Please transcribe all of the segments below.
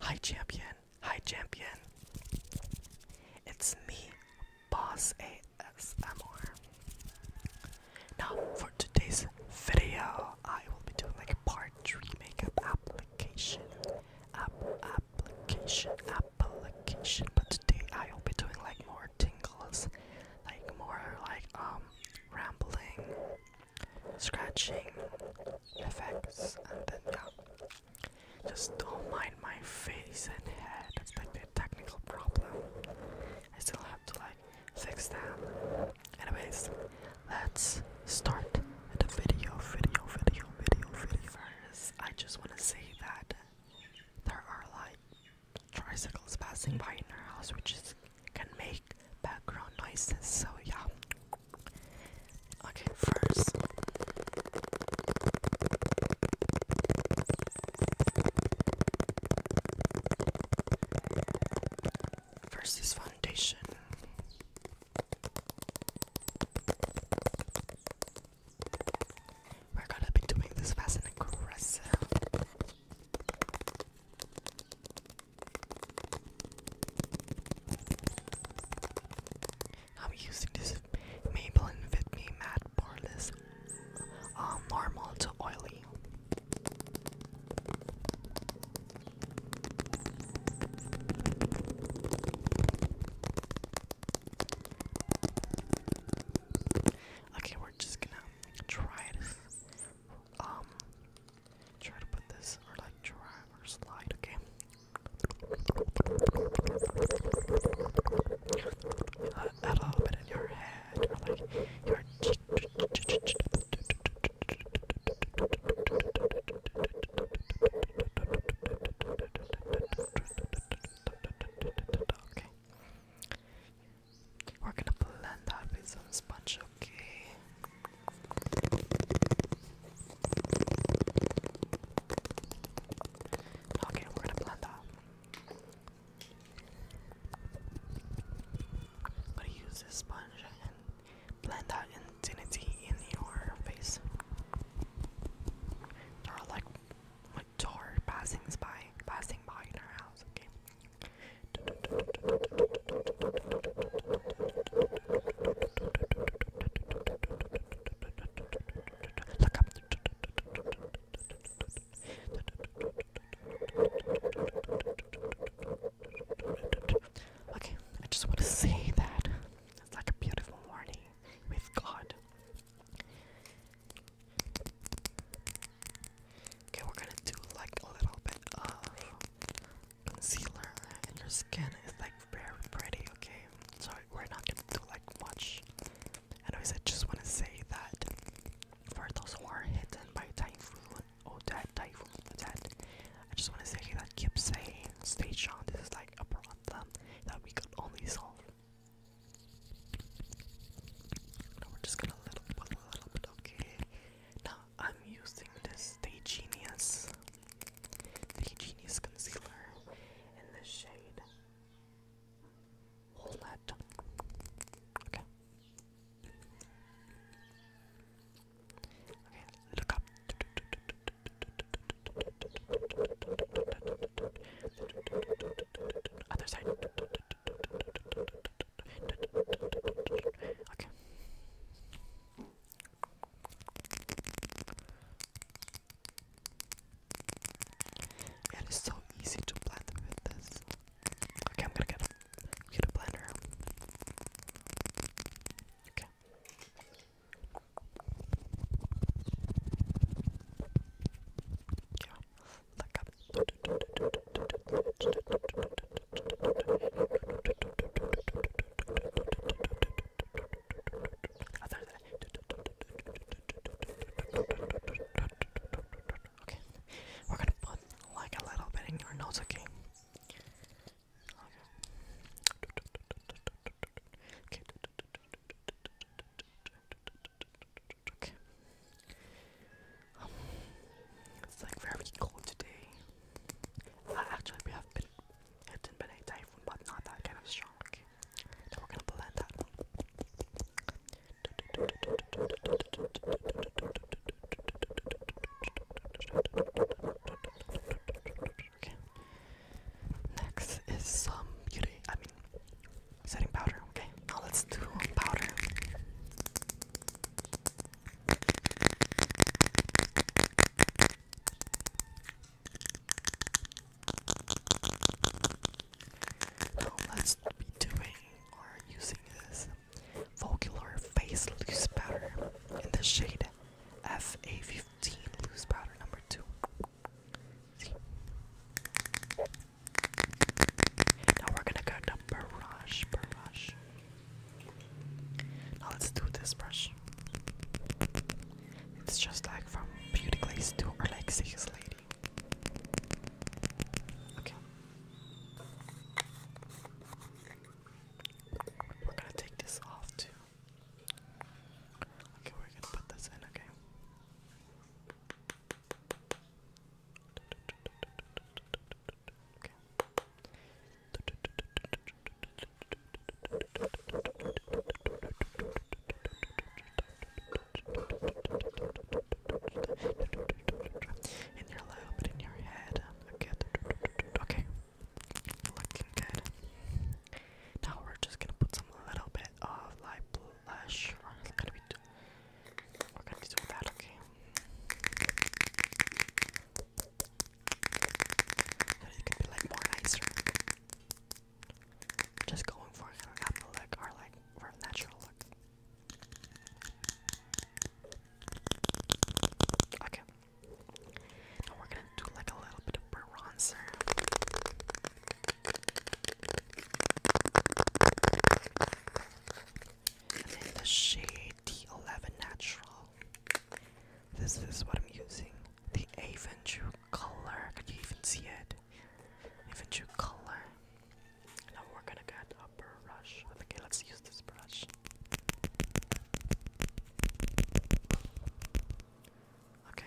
Hi, champion. Hi, champion. It's me, Boss ASMR. Now, for today's video, I will be doing like a part 3 makeup application. App application, application. But today I will be doing like more tingles, like more like, um, um, rambling, scratching effects, and then yeah, just don't mind my face and head. That's like a technical problem. I still have to like fix that. Anyways, let's start the video, video, video, video, video first. I just want to say that there are like tricycles passing by in our house, which can make background noises. So yeah. Okay, first. First is foundation. We're gonna be doing this fast and aggressive. I'm using this Maybelline Fit Me Matte Poreless um, uh, Normal to Oily. Okay, we're just gonna try it um try to put this or like drive or slide, okay? A little bit in your head Okay. We're gonna blend that with some sponge, okay? Okay, we're gonna blend that. But use this sponge and blend that intensity in your face. There are passing by, passing by in our house. Okay. Look up. Okay, I just want to say that it's like a beautiful morning with God. Okay, we're gonna do like a little bit of concealer and your skin is like very pretty, okay? So we're not gonna do like much. Anyways, I just wanna say that for those who are hidden by typhoon, oh that oh that I just wanna say that keep saying stay strong, this is like a problem that we could only solve. Now we're just gonna little a little bit, okay. Now I'm using this The Genius, The Genius concealer in the shade Walnut. Okay. Okay, look up. Other side. Okay. Yeah, it is so easy to blend with this. Okay, I'm gonna get a, get a blender. Okay. Yeah up, look up. Okay, we're gonna put like a little bit in your nose, okay? Okay. it's like very cold today. actually, we have been hit by a but not that kind of strong. Okay. we're gonna blend that. Okay. Next is some beauty setting powder. Okay, now let's do powder. Now let's be doing or using this Folklore Face Loose Powder in the shade FA15 Loose Powder number 2. Now we're gonna go to brush, brush. Now let's do this brush. It's just like from Beauty Glaze 2 or like Serious Lady. Okay. We're gonna take this off too. Okay, we're gonna put this in, okay? In your lap, in your head. Okay. Looking good. Now we're just gonna put some little bit of like blush. We're gonna do that, okay? And can be like more nicer. Just going for kind of apple look like for a natural look. Okay. Now we're gonna do like a little bit of bronzer. And then the shade D11 Natural. This is what I'm using. The Avenger Color. Can you even see it? Avenue Color. Now we're gonna get a brush. Okay, let's use this brush. Okay.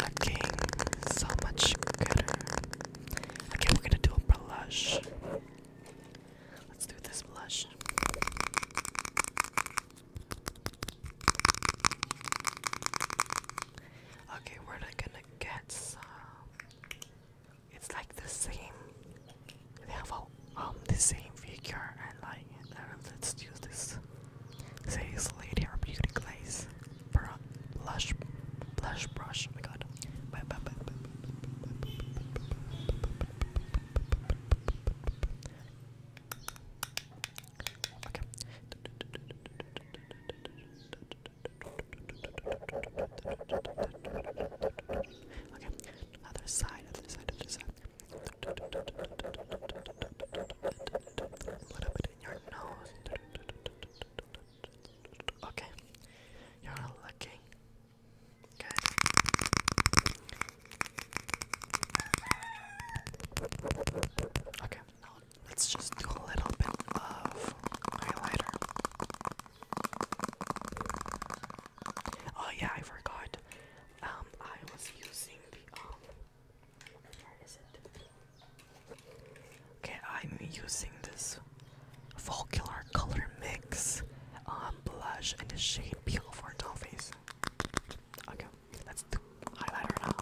looking so much better. Okay, we're gonna do a blush. Let's do this blush. Okay, we're not gonna get some. It's like the same. They have all, um, the same figure and like. Uh, let's use this. Say it's lady or beauty glaze blush, blush brush. Oh my god. Okay. Other side. Other side. Other side. A bit in your nose. Okay. You're lucky. Good. Okay, let's just do a little bit of highlighter. Oh yeah, I forgot. Um, I was using the um. Where is it? Okay, I'm using this Volcular Color Mix um, blush in the shade Beautiful Doll Face. Okay, let's do highlighter now.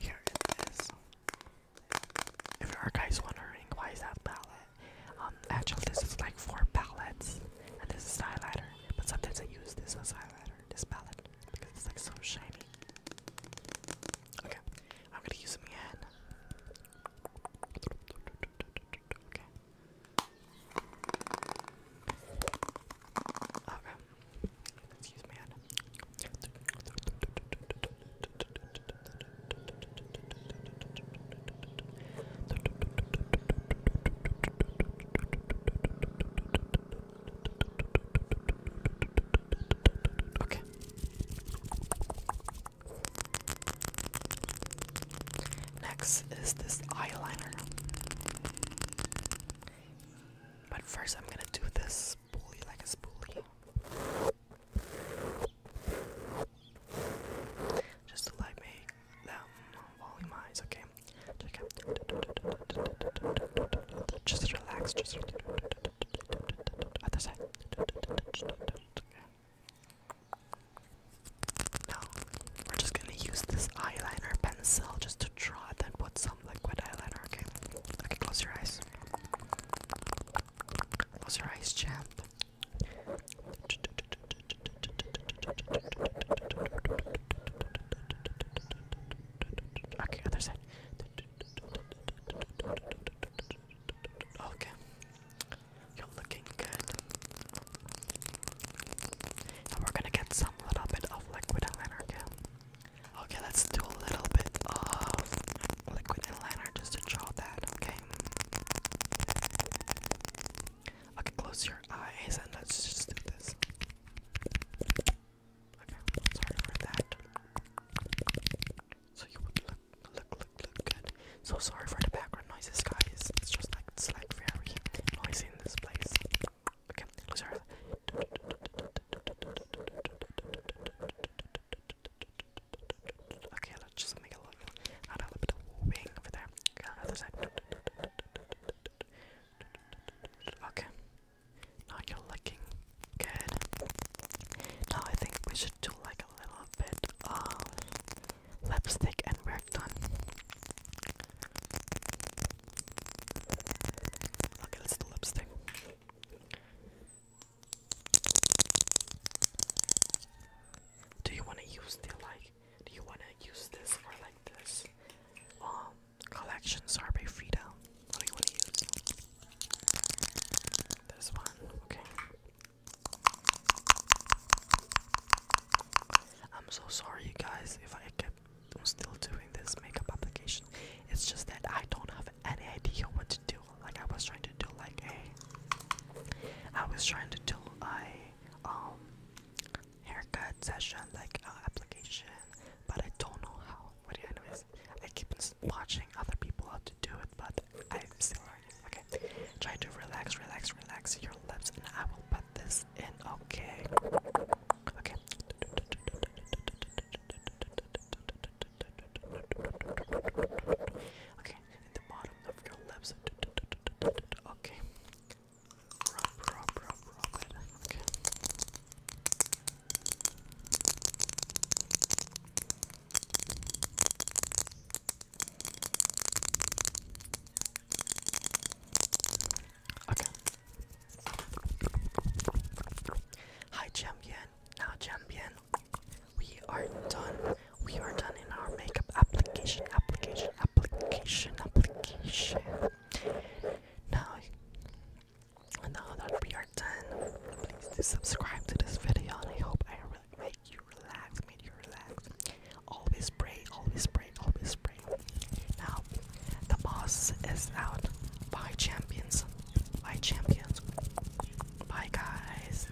Here it is. If you are guys wondering why is that palette, um, this is like four palettes, and this is highlighter. But sometimes I use this as highlighter, this palette, because it's like so shiny. Okay, I'm gonna use them again. Okay. Excuse me. Okay. Next is this eyeliner. But first, I'm gonna do this spoolie like a spoolie. Just to like make now, volume eyes, okay? Just relax, just relax. Other side. Now, we're just gonna use this eyeliner pencil just to draw, then put some liquid eyeliner, okay? Okay, close your eyes. Close your eyes, champ. Okay, there's side. Okay. You're looking good. And we're gonna get some little bit of liquid eyeliner Okay, let's do a little bit of liquid eyeliner just to draw that, okay? Okay, close your eyes and let's just do this. Okay, sorry for that. So you would look, look, look, look good. So sorry for the background noises, guys. It's just like it's like very noisy in this place. Okay, close Okay, just make a little, add little wing over there. Okay, Now you're looking good. Now I think we should do like a little bit of lipstick and we done. Okay, let's do lipstick do you want to use the like do you want to use this or like this um collection sorbet frida what do you want to use this one okay i'm so sorry you guys if i kept i still doing this makeup application it's just that i don't have any idea what to do like i was trying to do like a I was trying to do a um haircut session like uh, application, but I don't know how. What do you anyways? I keep watching other people how to do it, but I'm still learning. Okay, try to relax, relax, relax your lips, and I will put this in. Okay. Okay. Okay, and in the bottom of your lips. Okay. Okay. Okay. champion. Now champion. We are done. We are done in our makeup application, application, application, application. Now, now that we are done, please do subscribe to this video, and I hope I really make you relax, make you relax. Always pray, always pray, always pray. Now, the boss is out. Bye, champions. Bye, champions. Bye, guys.